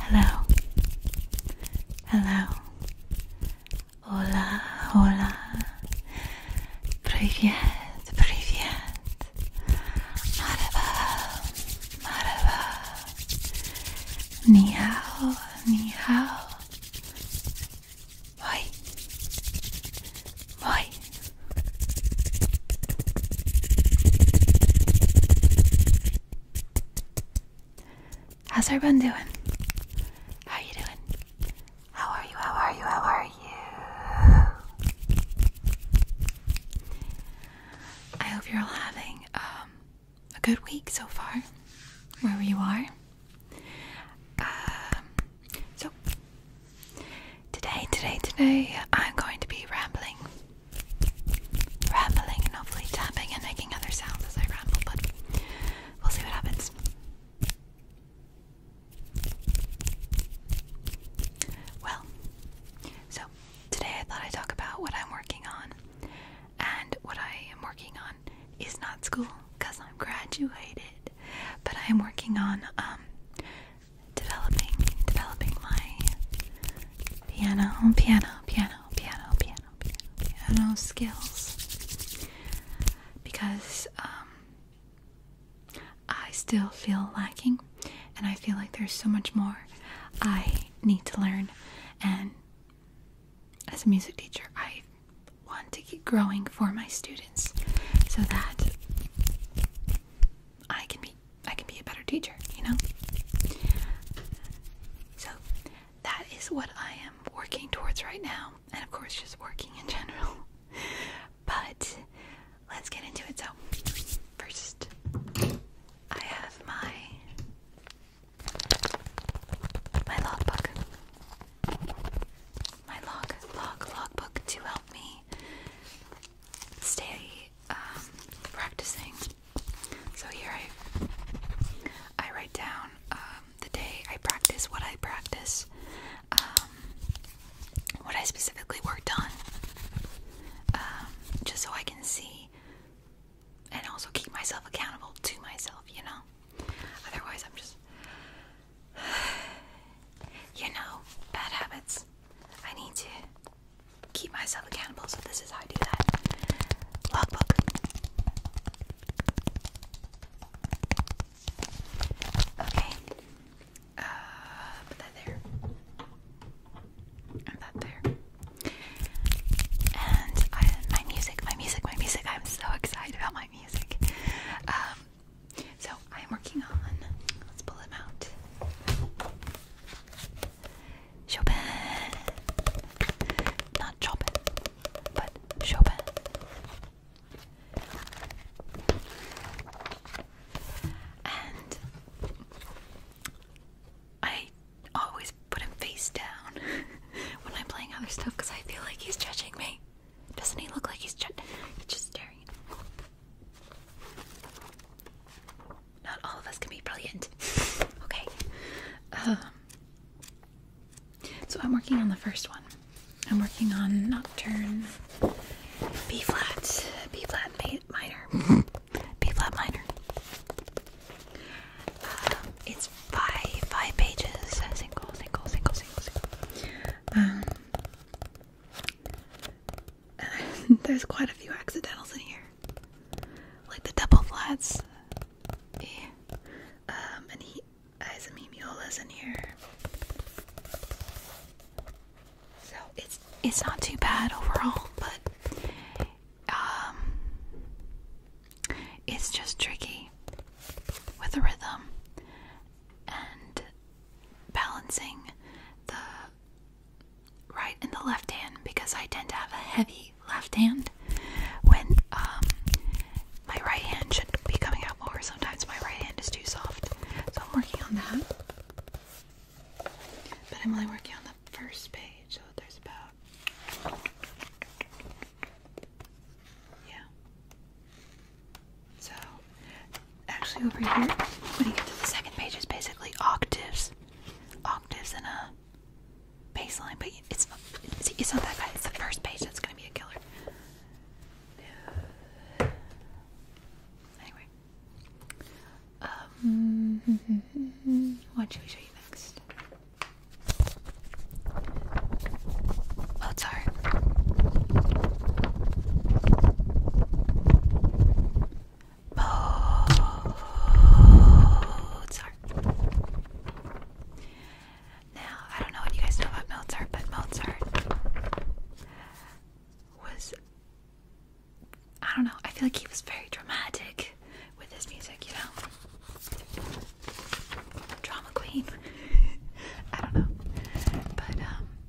Hello, hello, hola, hola, привет, привет, marhaba, marhaba, ni hao, ni hao, boy, boy. How's everyone doing? How are you doing? How are you? How are you? How are you? I hope you're all having um, a good week so far, wherever you are. Um, so, Today, today, today, I'm going to be rambling. Rambling and hopefully tapping and making other sounds as I ramble, but we'll see what happens. Well, so today I thought I'd talk about what I'm working on. And what I am working on is not school because I'm graduated, but I am working on um, developing developing my piano, piano, piano, piano, piano, piano, piano skills because um, I still feel lacking, and I feel like there's so much more I need to learn. And as a music teacher, I want to keep growing for my students so that I can be I can be a better teacher, you know? So that is what I am working towards right now, and of course just working in general. But let's get into it. So first I have my my logbook. My log log logbook to help me stay um, practicing. So here I I write down um, the day I practice, what I practice, um, what I specifically worked on, just so I can see and also keep myself accountable to myself, you know. Otherwise, I'm just you know, bad habits. I need to keep myself accountable, so this is how I do that. Logbook. Okay. Uh, there. And that there. And my music, my music, my music. I'm so excited about my music. Um, so I'm working on. Let's pull him out. Chopin, not Chopin, but Chopin. And I always put him face down when I'm playing other stuff because I feel like he's judging me. Doesn't he look like he's, just staring? Not all of us can be brilliant. okay. Um, so I'm working on the first one. I'm working on Nocturne B flat, B flat minor, B flat minor. Um, it's five, five pages. Single, single, single, single, um, there's quite a few accidentals in here, like the double flats. Eh, um, and he has a mimiolas in here. So it's it's not too bad overall, but um, it's just tricky with the rhythm and balancing the right and the left hand because I tend to have a heavy left hand when um, my right hand should be coming out more. Sometimes my right hand is too soft, so I'm working on that. But I'm only working on the first page, so there's about yeah, so, actually, over here, when you get to the second page, it's basically octaves, octaves, and a baseline. But it's it's, it's not that bad. It's the first page that's gonna be a killer. Anyway, um, what should we show you next? notes are. Mozart. Now, I don't know what you guys know about Mozart, but Mozart was. I don't know, I feel like he was very dramatic with his music, you know? Drama queen. I don't know. But, um,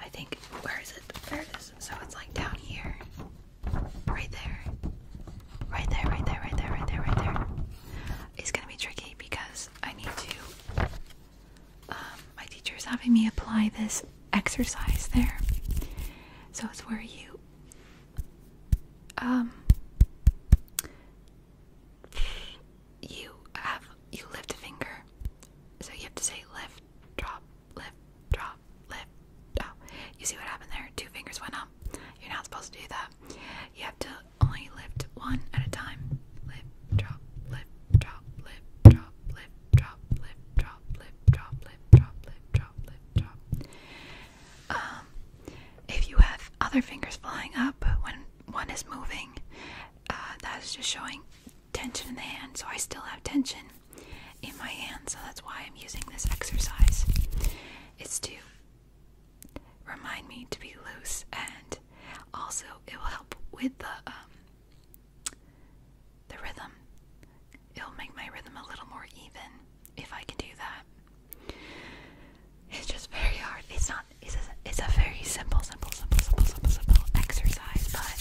I think where is it? There it is. So it's like down here. Right there. Right there, right there, right there, right there, It's gonna be tricky because I need to um, my teacher is having me apply this exercise there. So it's where you um, you have you lift a finger, so you have to say lift, drop, lift, drop, lift. Oh, you see what happened there? Two fingers went up. You're not supposed to do that. You have to only lift one at a time. lift, drop, lift, drop, lift, drop, lift, drop, lift, drop, lift, drop, lift, drop, lift, drop. Um, if you have other fingers flying up when one is moving. Uh, that is just showing tension in the hand, so I still have tension in my hand, so that's why I'm using this exercise. It's to remind me to be loose, and also it will help with the um, the rhythm. It'll make my rhythm a little more even if I can do that. It's just very hard. It's not. It's a, it's a very simple, simple, simple, simple, simple, simple exercise, but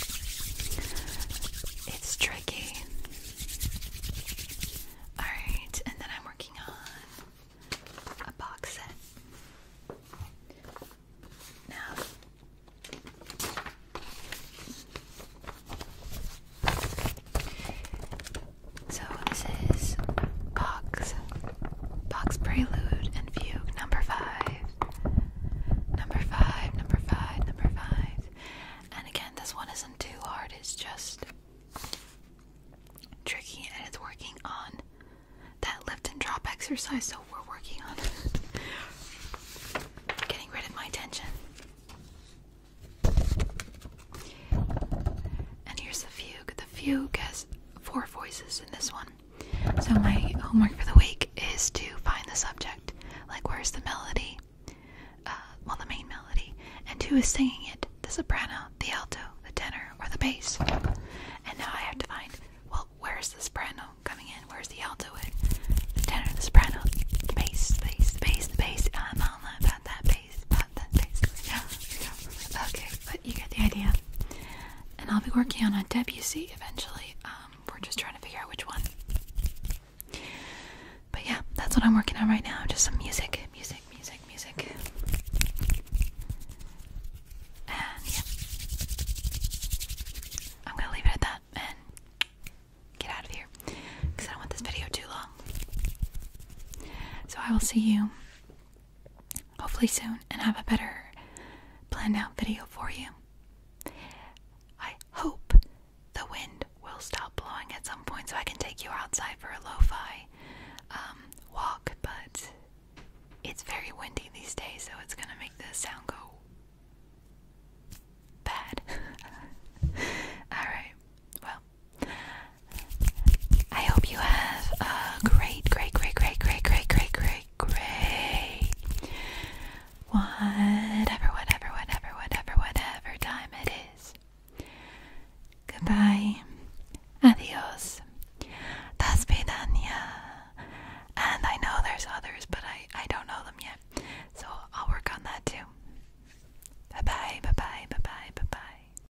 it's tricky. All right, and then I'm working on a box set now. So this is Box, Box Prelude and Fugue number five, number five, number five, number five. And again, this one isn't too hard. It's just tricky, and it's working on that lift and drop exercise. So we're working on getting rid of my tension. And here's the fugue. The fugue has four voices in this one. So my homework for the week is to find the subject, like where's the melody, uh, well the main melody, and who is singing it, the soprano, the alto, the tenor, or the bass. And now I have to find, well, where's the soprano coming in, where's the alto in, the tenor, the soprano, the bass, the bass, the bass, the bass, I don't about that bass okay, but you get the idea. And I'll be working on a WC eventually. Um, we're just trying to figure out which one. But yeah, that's what I'm working on right now. Just some music, music, music, music. And yeah. I'm gonna leave it at that and get out of here. Because I don't want this video too long. So I will see you hopefully soon and have a better planned out video for you. I hope the wind will stop blowing at some point so I can take you outside for a lo fi um, walk, but it's very windy these days, so it's gonna make the sound go bad. Alright, well, I hope you have a great, great, great, great, great, great, great, great, great, whatever, whatever, whatever, whatever, whatever time it is. Goodbye, adios, dasvidania. And I know there's others, but I I don't know them yet, so I'll work on that too. Bye bye, bye bye, bye bye, bye bye.